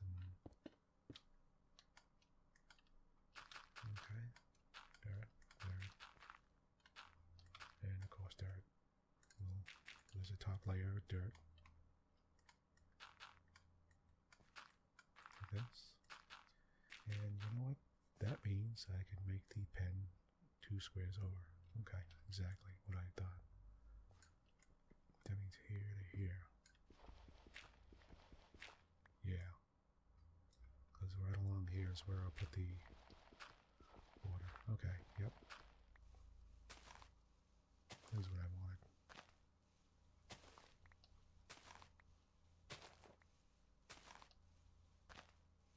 okay, there, there, and of course there. Well, there's a top layer of dirt this. And you know what? That means I can make the pen two squares over. Okay, exactly what I thought. That means here to here. Yeah. Because right along here is where I'll put the water. Okay, yep. This is what I wanted.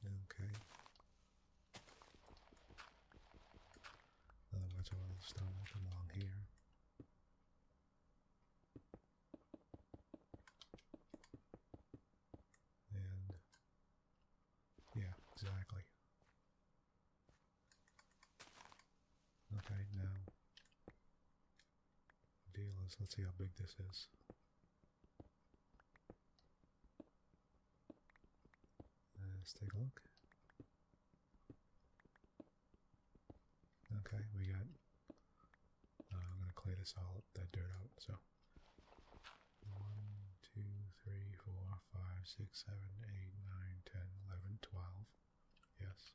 Okay. Otherwise, all the stone will here. And yeah, exactly. Okay, now deal Let's see how big this is. Uh, let's take a look. Okay, we got. Uh, I'm gonna clay this all up, that dirt out. So one, two, three, four, five, six, seven, eight, nine, ten, eleven, twelve. Yes.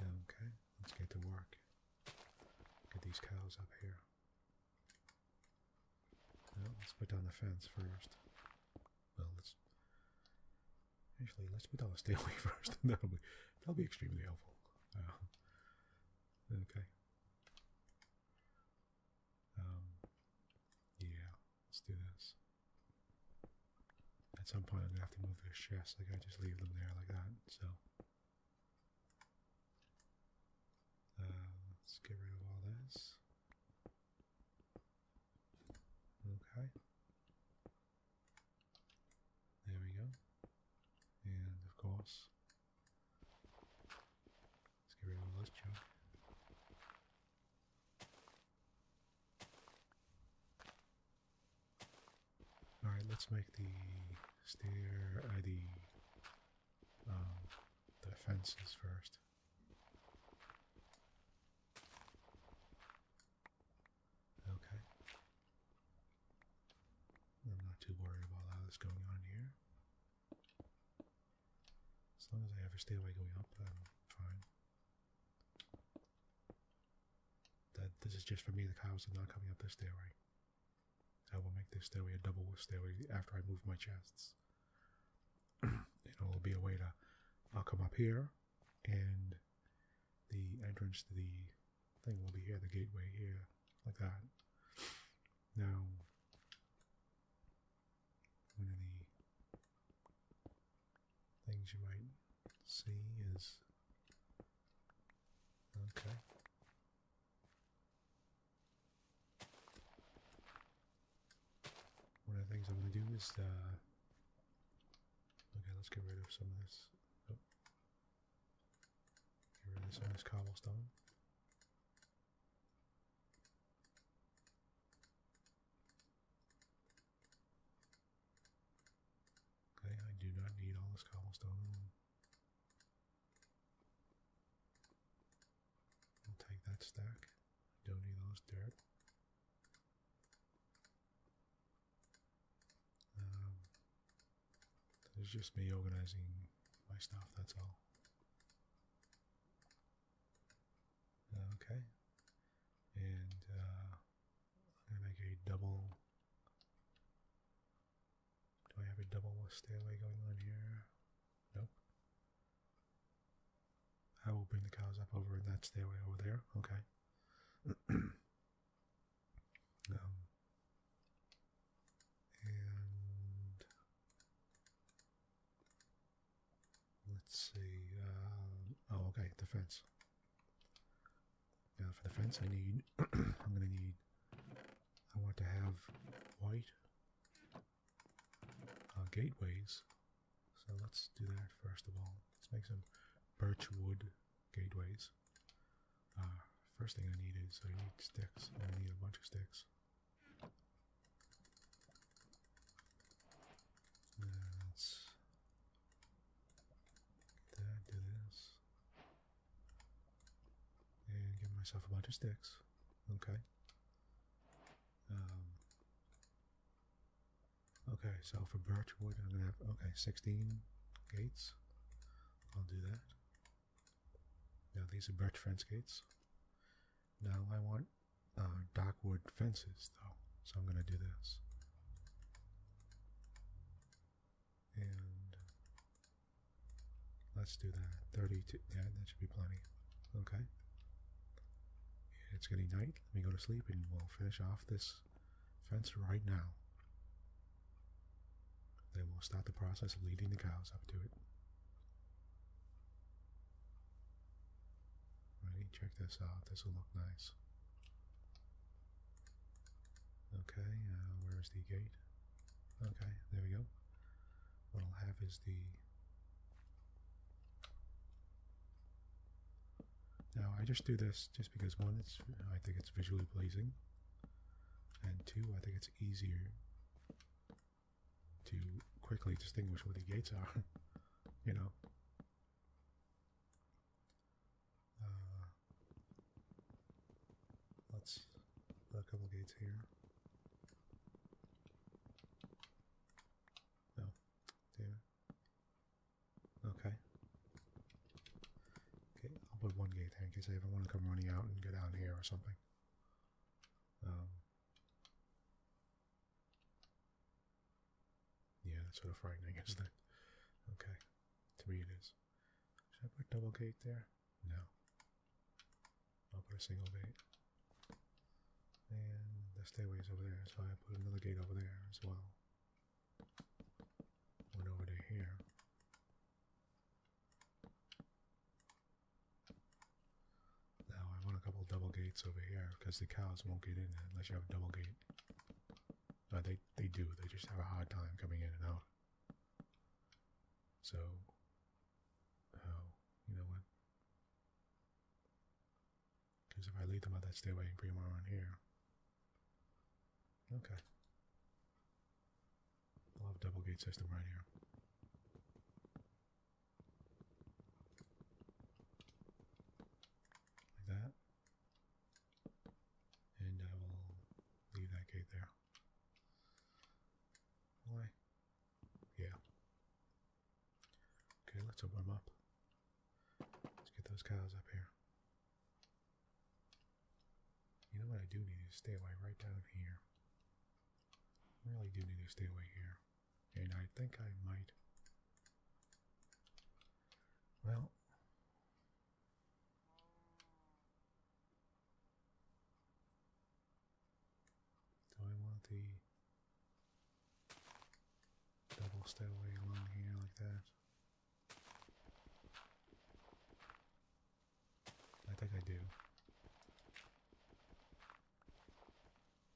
Okay, let's get to work. Get these cows up here. let's put down the fence first. Well, let's... Actually, let's put down the stairway first. that'll, be, that'll be extremely helpful. Uh, okay. Um, yeah. Let's do this. At some point I'm gonna have to move those chests, like I just leave them there like that, so. Uh, let's get rid of all this. Okay. There we go. And of course, let's get rid of this junk. Alright, let's make the steer uh, um, the, fences first. Okay. I'm not too worried about all that's going on here. As long as I have a stairway going up, I'm fine. That this is just for me. The cows are not coming up this stairway. I will make this stairway a double stairway after I move my chests. it will be a way to. I'll come up here, and the entrance to the thing will be here. The gateway here, like that. Now, one of things you might see is okay. One of the things I'm gonna do is uh, okay, let's get rid of some of this. Oh. Get rid of some of this cobblestone. Okay, I do not need all this cobblestone. We'll take that stack. Don't need all this dirt. Um, it's just me organizing my stuff, that's all. Okay. And uh, i a double. Do I have a double stairway going on here? Nope. I will bring the cows up over in that stairway over there. Okay. um, and Let's see. Uh, oh, okay, the fence. Now for the fence, I need. I'm gonna need. I want to have white uh, gateways. So let's do that first of all. Let's make some birch wood gateways. Uh, first thing I need is I need sticks. I need a bunch of sticks. let's do this. And give myself a bunch of sticks. Okay. Um, okay, so for birch wood, I'm gonna have, okay, 16 gates. I'll do that. Now these are birch fence gates. Now I want uh, dockwood fences though. So I'm going to do this. And let's do that. 32, yeah, that should be plenty. Okay. It's getting night. Let me go to sleep and we'll finish off this fence right now. Then we'll start the process of leading the cows up to it. Alrighty, check this out. This will look nice. Okay, uh, where's the gate? Okay, there we go. What I'll have is the... Now, I just do this just because, one, it's I think it's visually pleasing, and two, I think it's easier to quickly distinguish where the gates are, you know? Uh, let's put a couple gates here. No, damn Okay. Okay, I'll put one gate there in case I ever want to come running out and go down here or something. Um, yeah, that's sort of frightening, isn't Okay, to me it is. Should I put double gate there? No. I'll put a single gate. And the stairway's over there, so I put another gate over there as well. One over to here. Now I want a couple double gates over here because the cows won't get in unless you have a double gate they, they do. They just have a hard time coming in and out. So, oh, you know what? Because if I leave them out that stairway and bring them around here. Okay. I'll double gate system right here. Like that. And I will leave that gate there. Why? Yeah. Okay, let's open up. Let's get those cows up here. You know what I do need to stay away right down here. I really do need to stay away here. And I think I might well, do I want the double stairway along here like that? I think I do.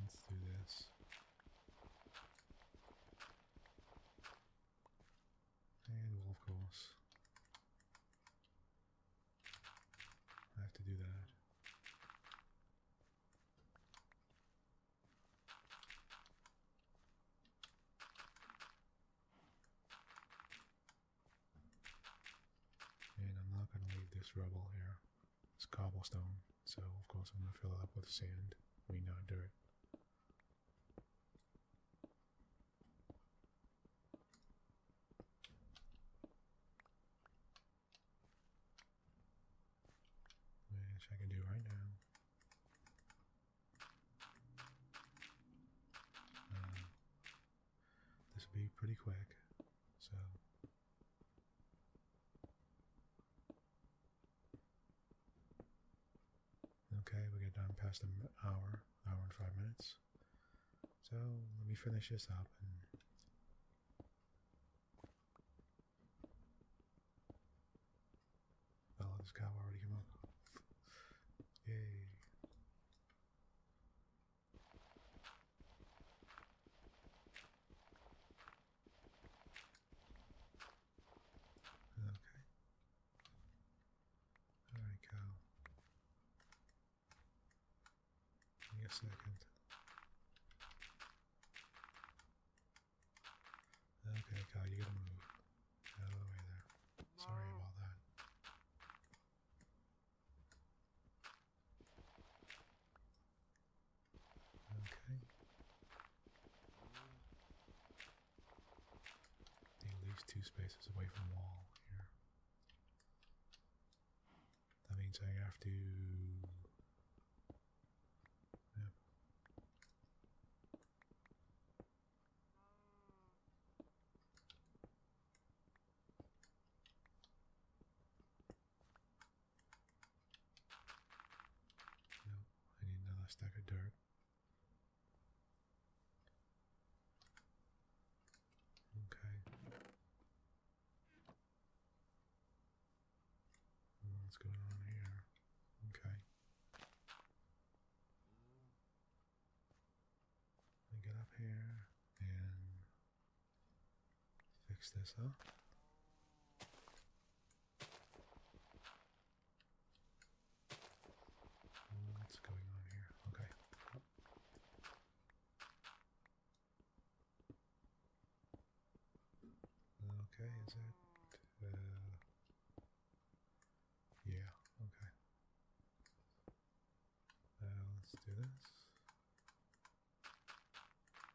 Let's do this. And of course, I have to do that. And I'm not going to leave this rubble here. It's cobblestone, so of course I'm going to fill it up with sand. I mean, not dirt. Which I can do right now. Uh, this will be pretty quick, so Okay, we got done past an hour, hour and five minutes. So let me finish this up and oh, this cow already came up. Yay. Okay. There we go. Give me a second. Okay, Kyle, you gotta move. out of the way there. Sorry about that. Okay. He leaves two spaces away from wall here. That means I have to. Yep. No, I need another stack of dirt. Okay. What's going on here? Okay. Let get up here and fix this up. What's going on here? Okay. Okay, is that... Uh, yeah, okay. Uh, let's do this.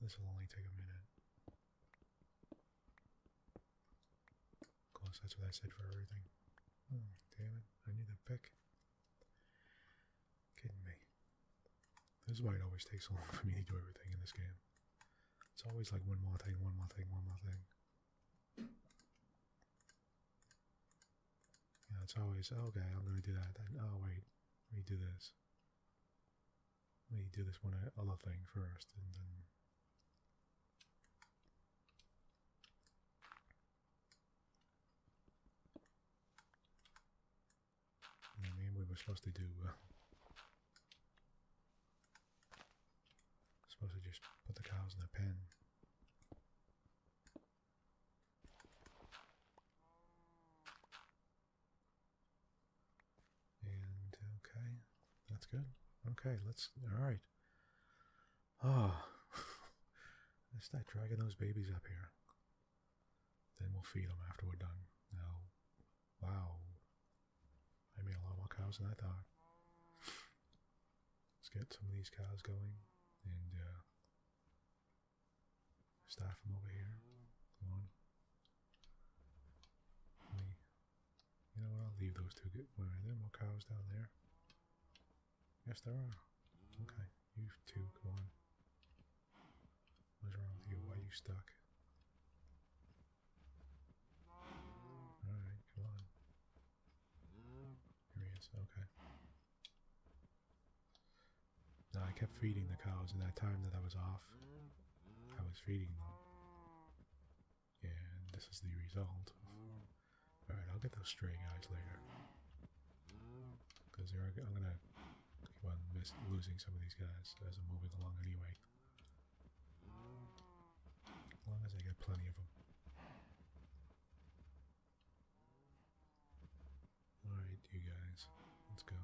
This will only take a minute. Of course, that's what I said for everything. Oh, damn it. I need a pick. Kidding me. This is why it always takes so long for me to do everything in this game. It's always like one more thing, one more thing, one more thing. Yeah, it's always, okay, I'm gonna do that, then, oh wait, let me do this. Let me do this one uh, other thing first, and then I mean, we were supposed to do. Uh, supposed to just put the cows in a pen. And okay, that's good. Okay, let's. All right. Ah, oh. let's start dragging those babies up here. Then we'll feed them after we're done. Now, wow, I made a lot more cows than I thought. Let's get some of these cows going and uh, Staff from over here. Come on. Me. You know what? I'll leave those two. Good. Wait, are there more cows down there? Yes, there are. Okay, you two, come on. What's wrong with you? Why are you stuck? Alright, come on. Here he is, okay. I kept feeding the cows. In that time that I was off, I was feeding them. and this is the result. Alright, I'll get those stray guys later. Because I'm gonna keep on miss, losing some of these guys as I'm moving along anyway. As long as I get plenty of them. Alright, you guys, let's go.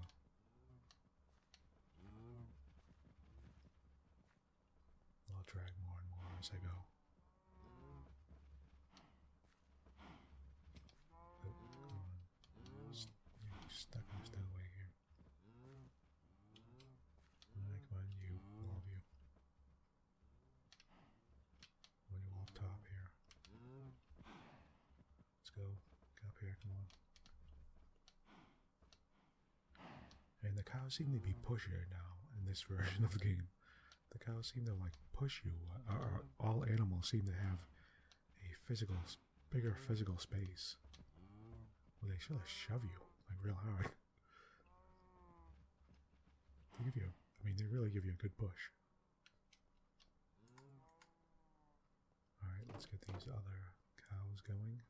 I'll drag more and more as I go. Oh, stuck in the stairway here. Alright, come you, all of you. Well, you all top here. Let's go. Get up here. Come on. And the cows seem to be pushing right now in this version of the game. The cows seem to like push you. Uh, uh, all animals seem to have a physical, bigger physical space. Well, they should shove you like real hard. give you, I mean, they really give you a good push. Alright, let's get these other cows going.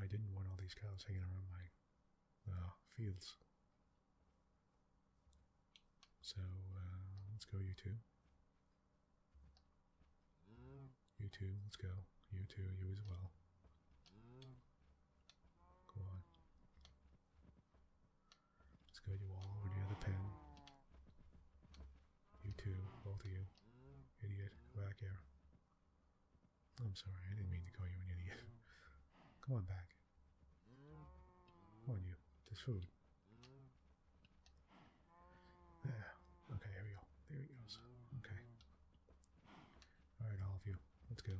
I didn't want all these cows hanging around my uh, fields. So, uh, let's go you two. You two, let's go. You two, you as well. Go on. Let's go you all over near the pen. You two, both of you. Idiot, back here. I'm sorry, I didn't mean to call you an idiot. Come on back. Come on you, there's food. Ah, there. Okay, here we go. There he goes. Okay. Alright, all of you. Let's go.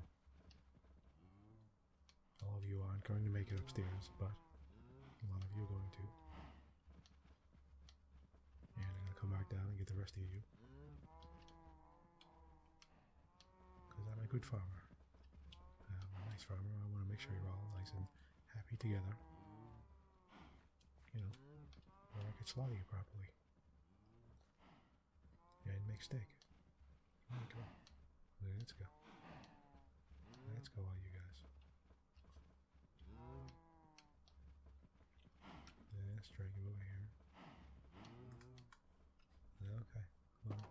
All of you aren't going to make it upstairs, but a lot of you are going to. And I'm gonna come back down and get the rest of you. Because I'm a good farmer. I'm a nice farmer. I want to make sure you're all nice and happy together. You know, or I can slaughter you properly. And make steak. Come on. Let's go. Let's go, all you guys. Let's drag you over here. Okay, come on.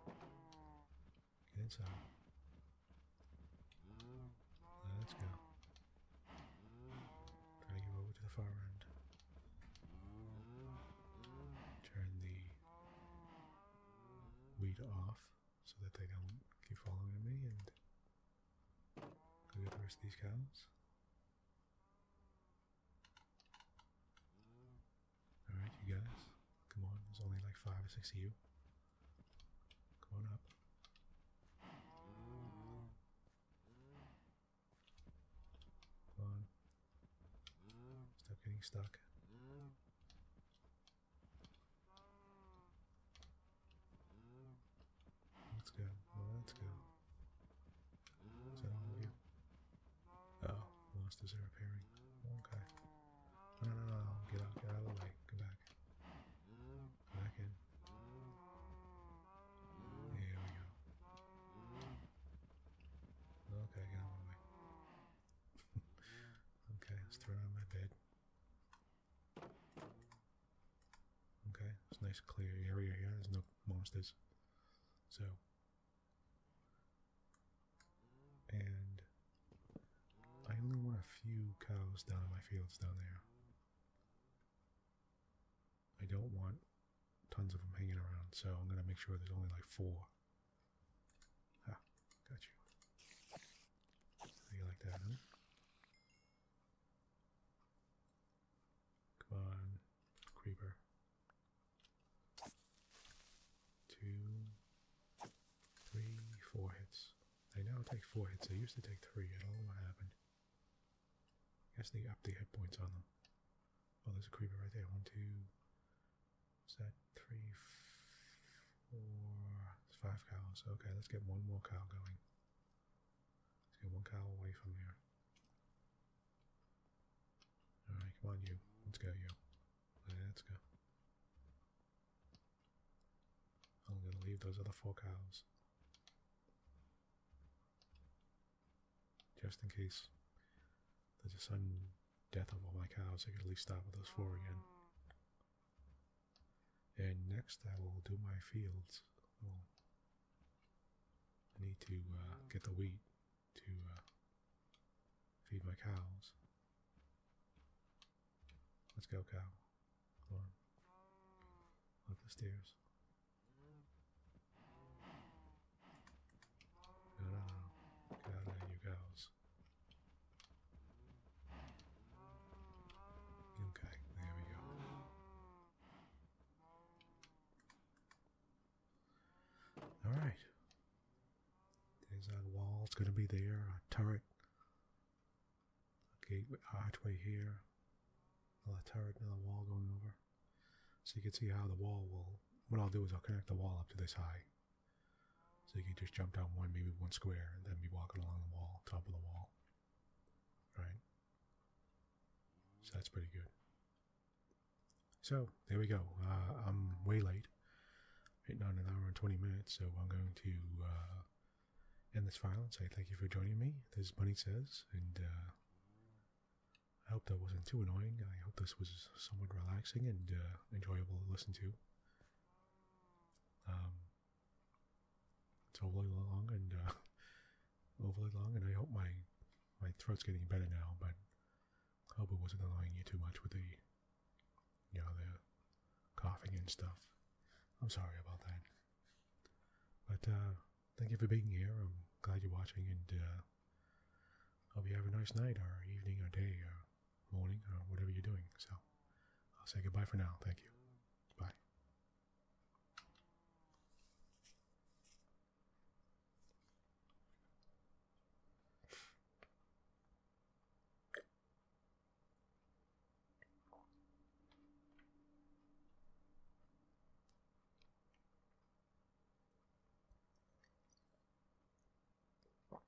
Get inside. Let's go. Drag you over to the far end. Turn the weed off so that they don't keep following me and go get the rest of these cows. Alright, you guys. Come on, there's only like five or six of you. Come on up. Come on. Stop getting stuck. Let's go. Let's go. Is that all of you? Oh, lost his repairing. Okay. No, Get out. Get out of the way. Come back. Come back in. we go. Okay, get out of the way okay, let's throw it on my bed. Okay, it's nice clear area here. There's no monsters. So, and I only want a few cows down in my fields down there. I don't want tons of them hanging around, so I'm gonna make sure there's only like four. Ah, got you. you like that, huh? Come on, creeper. Two, three, four hits. I now take four hits. I used to take three. I don't know what happened. guess they upped the hit points on them. Oh, there's a creeper right there. One, two, is that three, four, five cows? Okay, let's get one more cow going. Let's get one cow away from here. Alright, come on, you. Let's go, you. Let's go. I'm going to leave those other four cows. Just in case there's a sudden death of all my cows, I can at least start with those four again. And next I will do my fields. Oh. I need to uh, get the wheat to uh, feed my cows. Let's go, cow. Come on. Up the stairs. No, no, you cows. Okay, there we go. Alright. There's our wall, it's going to be there, our turret. A gateway archway here. Another turret, another wall going over. So you can see how the wall will. What I'll do is I'll connect the wall up to this high. So you can just jump down one, maybe one square, and then be walking along the wall, top of the wall. Right? So that's pretty good. So there we go. Uh, I'm way late. Right now, an hour and 20 minutes, so I'm going to uh, end this file and say thank you for joining me. This is Bunny Says, and uh, I hope that wasn't too annoying. I hope this was somewhat relaxing and enjoyable to listen to. Um, it's overly long and overly uh, long, and I hope my my throat's getting better now. But I hope it wasn't annoying you too much with the you know the coughing and stuff. I'm sorry about that. But uh, thank you for being here. I'm glad you're watching, and I uh, hope you have a nice night, or evening, or day, morning, or uh, whatever you're doing. So I'll say goodbye for now. Thank you. Bye.